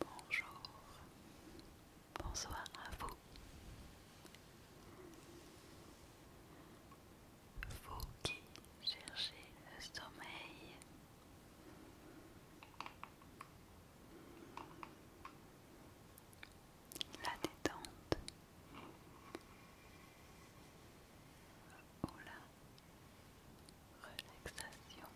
Bonjour, bonsoir à vous. Vous qui cherchez le sommeil la détente. Ou la relaxation.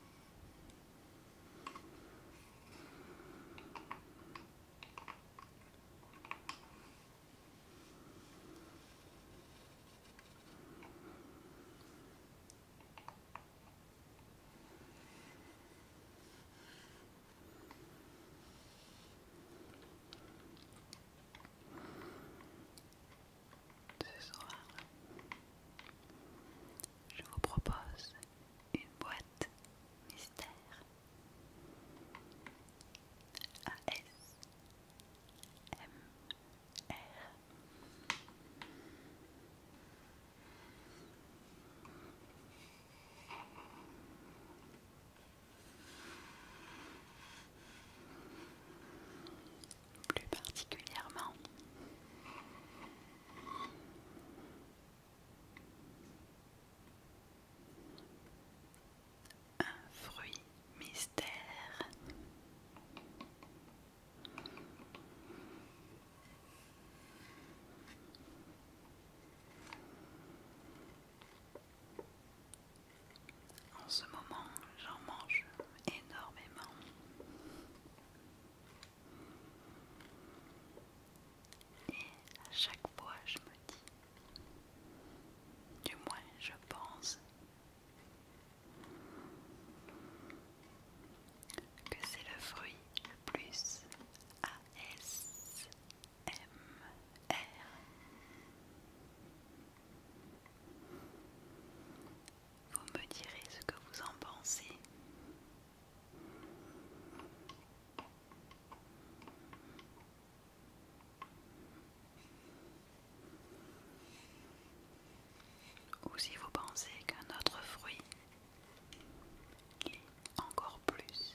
Ce soir, je vous propose une boîte mystère ASMR. Plus particulièrement. Un fruit mystère. En ce moment, j'en mange énormément. Et à chaque fois, je me dis, du moins je pense, que c'est le fruit le plus A.S. M Vous me direz ce que vous en pensez. Ou si vous pensez qu'un autre fruit est encore plus.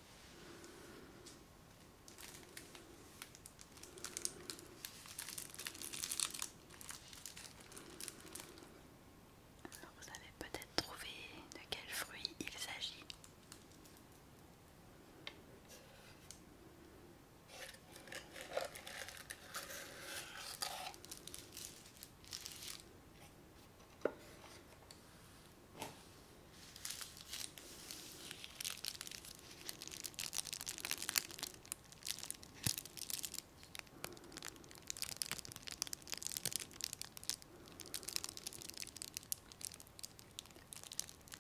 vous avez peut-être trouvé de quel fruit il s'agit.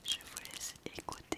Je vous laisse écouter,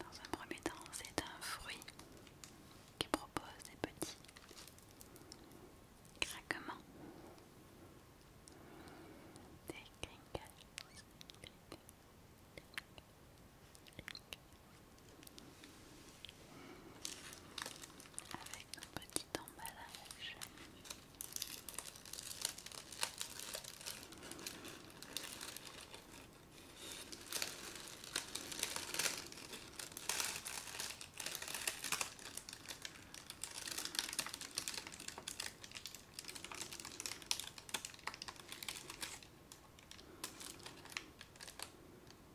Dans un premier temps, c'est un fruit qui propose des petits craquements, petit emballage.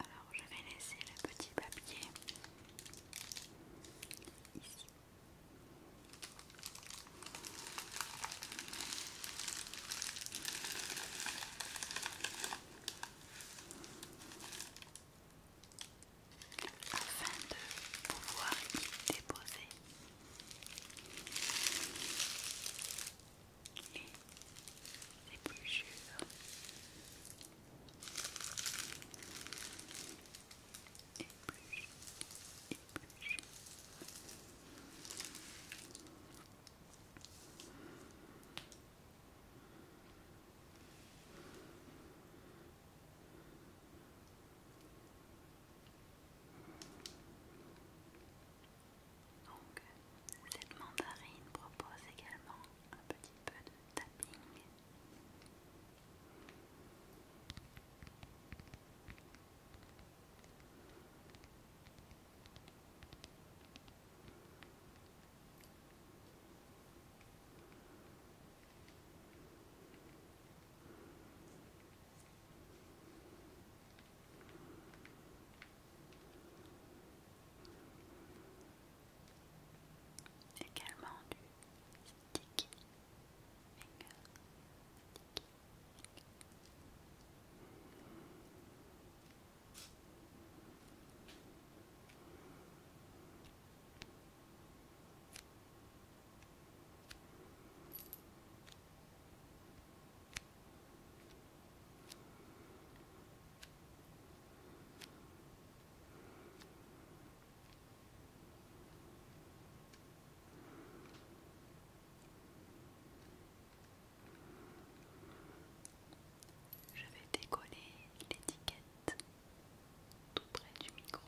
Alors je vais laisser le petit papier ici afin de pouvoir y déposer les épluchures. Donc, cette mandarine propose également un petit peu de tapping. Également du Sticky je vais décoller l'étiquette tout près du micro.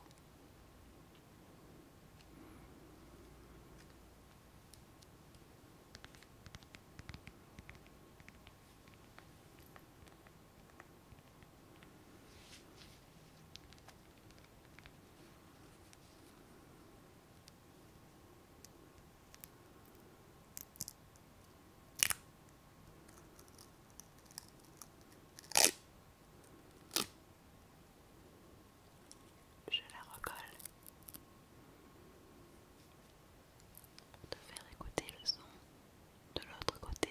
Je la recolle pour te faire écouter le son de l'autre côté.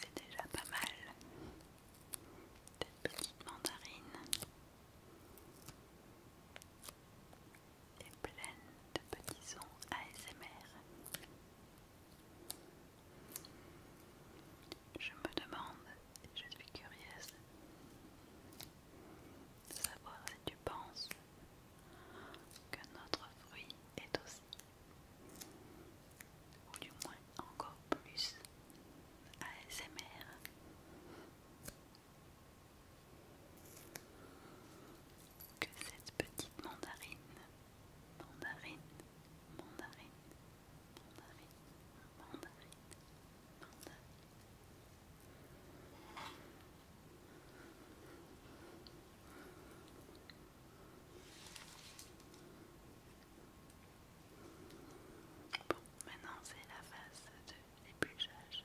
C'est déjà pas mal. Cette petite mandarine et pleine de petits sons ASMR. Je me demande, et je suis curieuse, de savoir si tu penses que notre fruit est aussi, ou du moins encore plus, ASMR. Que cette petite mandarine, mandarine, mandarine, mandarine, mandarine, mandarine maintenant c'est la phase de l'épluchage.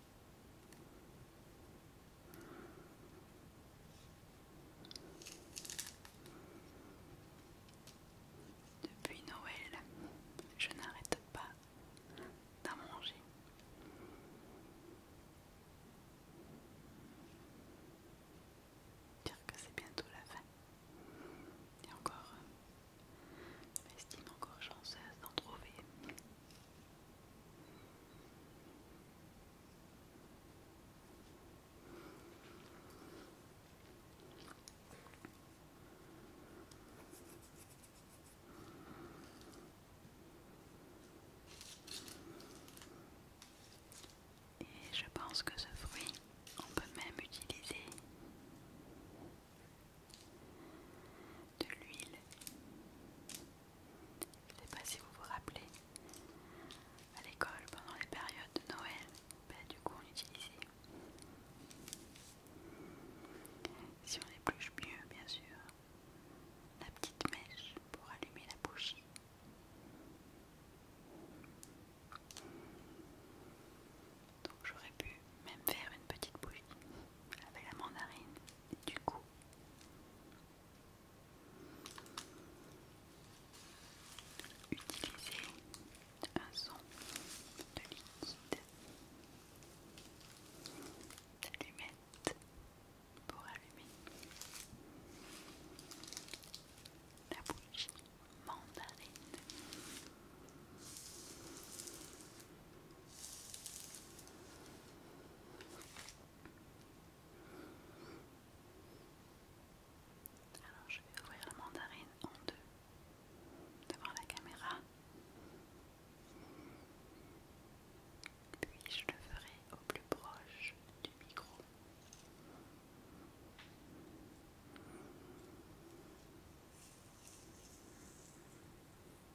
Depuis Noël, je n'arrête pas d'en manger. Dire que c'est bientôt la fin. Et encore, je m'estime encore chanceuse d'en trouver. Et je pense que ce fruit, on peut même utiliser de l'huile je ne sais pas si vous vous rappelez, à l'école, pendant les périodes de Noël, bah, du coup on utilisait. Si on épluche mieux, bien sûr, la petite mèche pour allumer la bougie. Donc j'aurais pu même faire une petite bougie avec la mandarine du coup, utiliser un son de liquide d'allumette pour allumer la bouche mandarine. Alors je vais ouvrir la mandarine en deux devant la caméra. Puis je le ferai au plus proche du micro.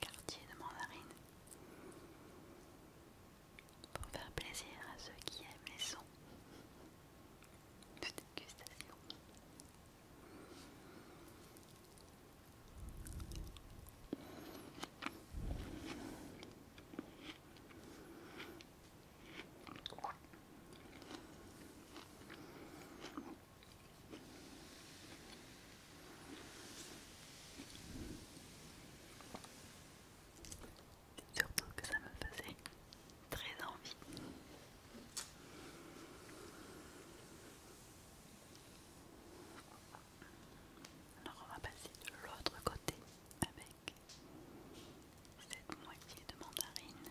quartier de mandarine pour faire plaisir à ceux qui aiment les sons de dégustation. Surtout que ça me faisait très envie. Alors on va passer de l'autre côté avec cette moitié de mandarine.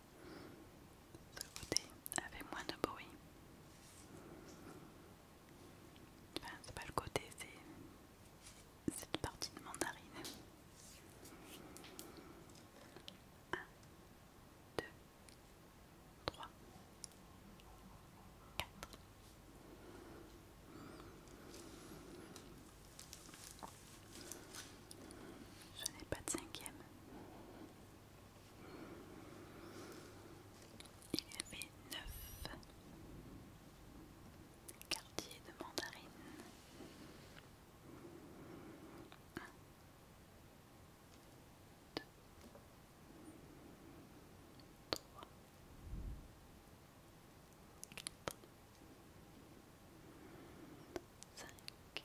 Ce côté avait moins de bruit. Enfin, c'est pas le côté, c'est cette partie de mandarine. 1, 2, 3, 4. Je n'ai pas de cinquième. 5, 4, il y avait neuf quartiers de mandarine. Un, deux, trois, quatre, cinq.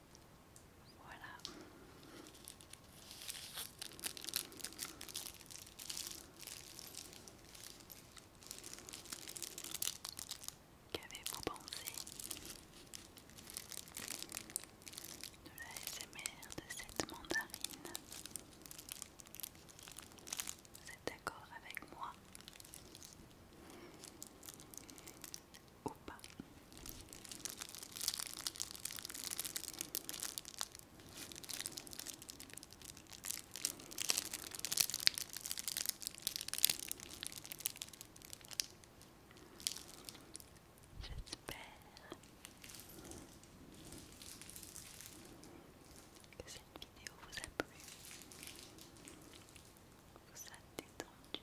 Voilà. Qu'avez-vous pensé de la SMR de cette mandarine Vous êtes d'accord avec moi ou J'espère que cette vidéo vous a plu, vous a détendu